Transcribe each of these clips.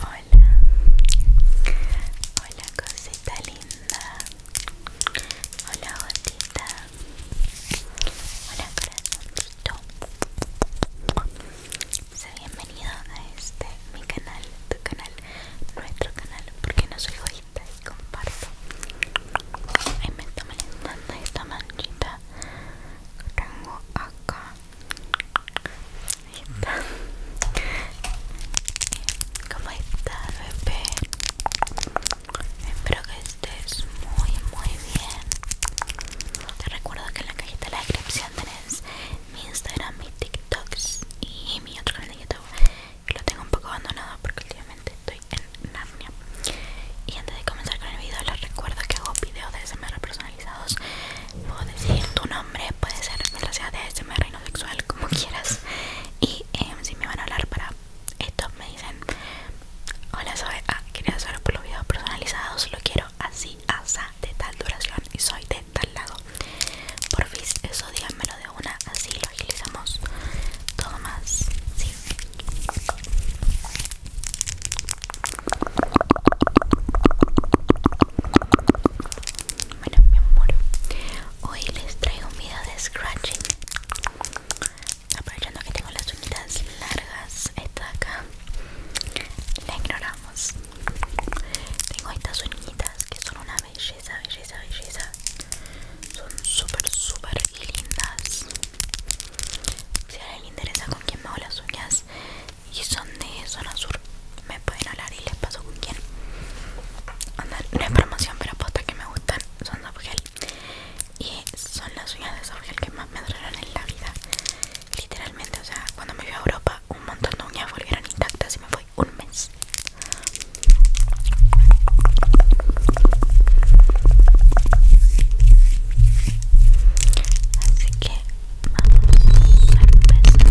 Hola, hola cosita linda, hola gotita, hola corazoncito, sea bienvenido a este mi canal, tu canal, nuestro canal, porque no soy hoy y comparto Ay, me está esta manchita que tengo acá Ahí está ¿Cómo bebé? Espero que estés muy, muy bien Te recuerdo que en la cajita de la descripción tenés mi Instagram, mi TikToks y mi otro canal de YouTube y lo tengo un poco abandonado porque últimamente estoy en Narnia y antes de comenzar con el video les recuerdo que hago videos de ASMR personalizados puedo decir tu nombre puede ser sea de ASMR y sexual como quieras y em, si me van a hablar para esto me dicen hola soy ah, quería saber por los videos personalizados lo quiero así asa de tal duración y soy de tal lado porfis eso díganme de una, así lo agilizamos todo más, Bueno, mi amor, hoy les traigo un video de scratching. Aprovechando que tengo las uñitas largas, esta de acá la ignoramos. Tengo estas uñitas que son una belleza, belleza, belleza. Son súper, súper lindas. Si alguien le interesa con quién me hago las uñas y son de zona sur, me pueden hablar y les paso con quién. Andar, no es promoción, pero aposta que me gustan. Son de gel y son las uñas de gel que más me duraron en la vida. Literalmente, o sea, cuando me fui a Europa, un montón de uñas volvieron intactas y me fue un mes. Así que vamos a empezar con el escrache.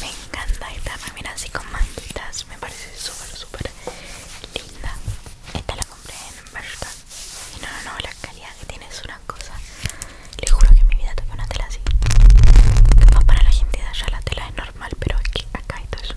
Me encanta esta también así con manguitas, me parece súper súper linda hombre en y no, no, no, la calidad que tiene es una cosa le juro que en mi vida toqué una tela así para la gente de allá la tela es normal pero aquí, acá hay todo eso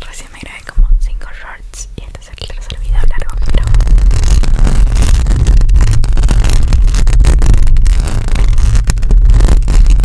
Recién me grabé como 5 shorts y este es el tercer video largo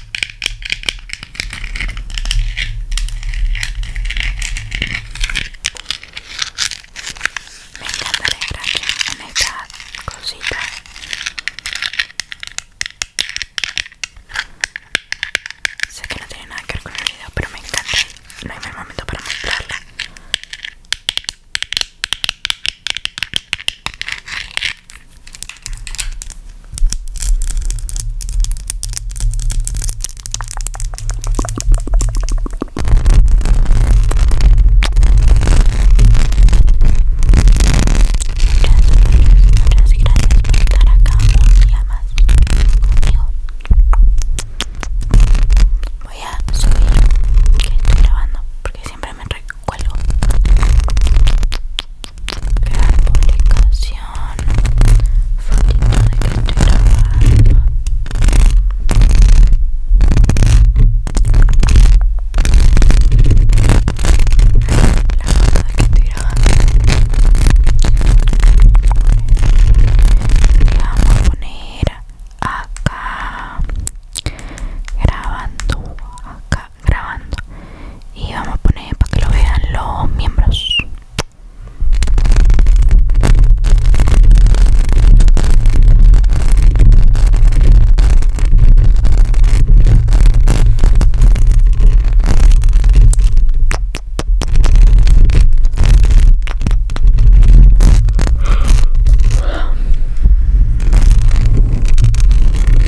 Me encanta la gracia en esta cosita. Sé que no tiene nada que ver con el video, pero me encanta. No hay mal momento para mostrarla muchas gracias por estar acá un día más conmigo voy a subir que estoy grabando porque siempre me recuerdo. La publicación fotito de que estoy grabando la foto de que estoy grabando la vamos a poner acá grabando acá grabando y vamos a poner para que lo vean los miembros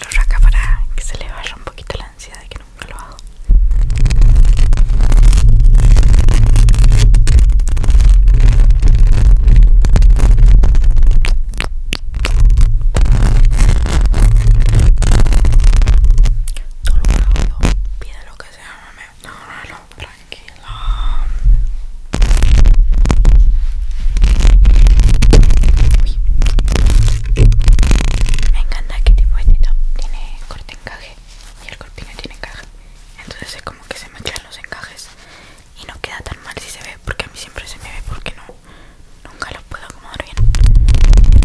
Lo raca para que se le vaya un poquito la ansiedad de que nunca lo hago. Dolorado, pide lo que sea, mami. No, no, no, tranquila. Uy. Me encanta que tipo este tiene corte encaje y el corpiño tiene encaje. Entonces es como que se me mezclan los encajes y no queda tan mal si se ve porque a mí siempre se me ve porque no nunca los puedo acomodar bien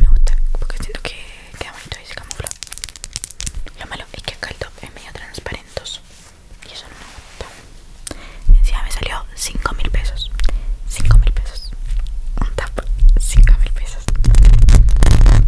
me gusta porque siento que queda bonito y se camufla lo malo es que acá el top es medio transparentos y eso no me gusta encima me salió 5 mil pesos 5 mil pesos un tap 5 mil pesos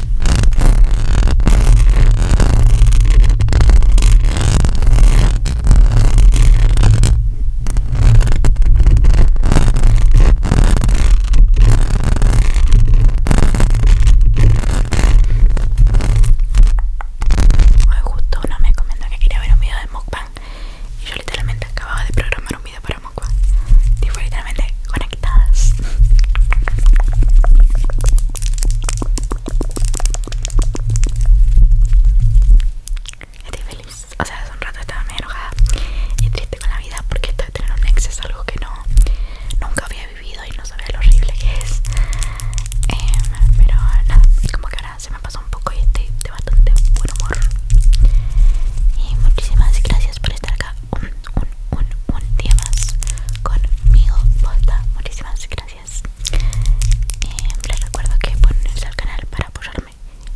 Hoy justo uno me comentó que quería ver un video de mukbang y yo literalmente acababa de programar un video para mukbang. Y fue literalmente con Estoy feliz, o sea, hace un rato estaba muy enojada y triste con la vida porque estoy teniendo un ex es algo que no nunca había vivido y no sabía lo horrible que es. Em, pero nada, como que ahora se me pasó un poco y estoy de bastante buen humor. Y muchísimas gracias por estar acá un, un, un, un día más conmigo posta pues muchísimas gracias eh, Les recuerdo que pueden unirse al canal para apoyarme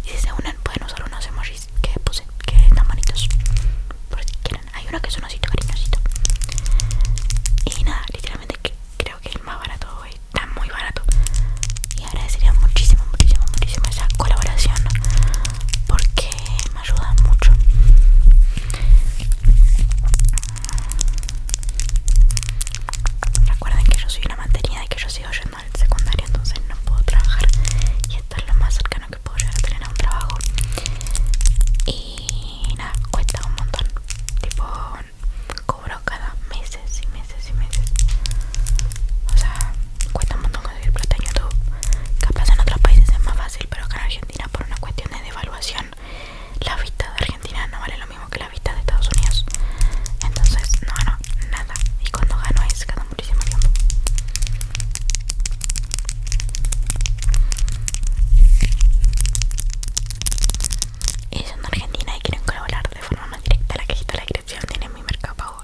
Y si se unen pueden usar unos emojis que puse, que están bonitos Por si quieren, hay uno que es un osito cariñosito Y nada, literalmente que creo que el más barato hoy, está muy barato Y agradecería muchísimo, muchísimo, muchísimo esa colaboración Porque me ayudan mucho recuerden que yo soy una mantenida y que yo sigo yendo al secundario entonces no puedo trabajar y esto es lo más cercano que puedo llegar a tener un trabajo y nada cuesta un montón tipo cobro cada meses y meses y meses o sea cuesta un montón conseguir plata en YouTube. Capaz en otros países es más fácil, pero acá en Argentina, por una cuestión de devaluación, la vista de Argentina no vale lo mismo que la vista de Estados Unidos. Entonces, no gano nada. Y cuando gano es cada muchísimo tiempo. Y siendo Argentina y quieren colaborar de forma más directa. La cajita en la descripción tiene mi mercado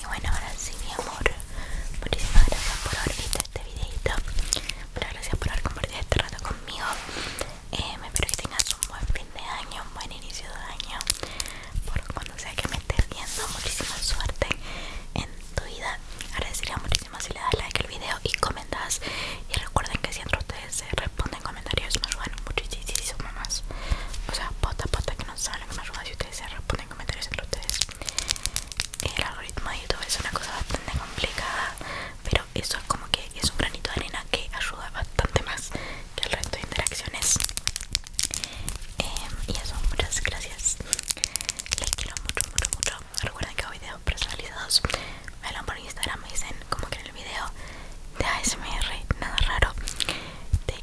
Y bueno, ahora sí, mi amor. Muchísimas gracias por haber visto este videito. Muchas gracias por haber compartido este rato conmigo. Eh, me espero que tengas un buen fin de año, un buen inicio de año por cuando sea que me esté viendo. Muchísima suerte en tu vida. Agradecería muchísimo si le das like al video y comentas. Y recuerden que si entre ustedes se responden comentarios, me ayudan muchísimo más. O sea, pota pota que no saben que me ayuda si ustedes se responden comentarios entre ustedes. El algoritmo de YouTube es una cosa bastante complicada, pero eso es como que es un granito de arena que ayuda bastante más que el resto de interacciones em, y eso muchas gracias les quiero mucho mucho mucho recuerden que hago videos personalizados me ponen por instagram me dicen como que en el video de ASMR nada raro de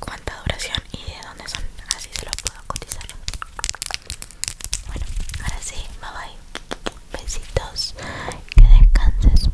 cuánta duración y de dónde son así se los puedo cotizar bueno ahora sí bye bye besitos que descanses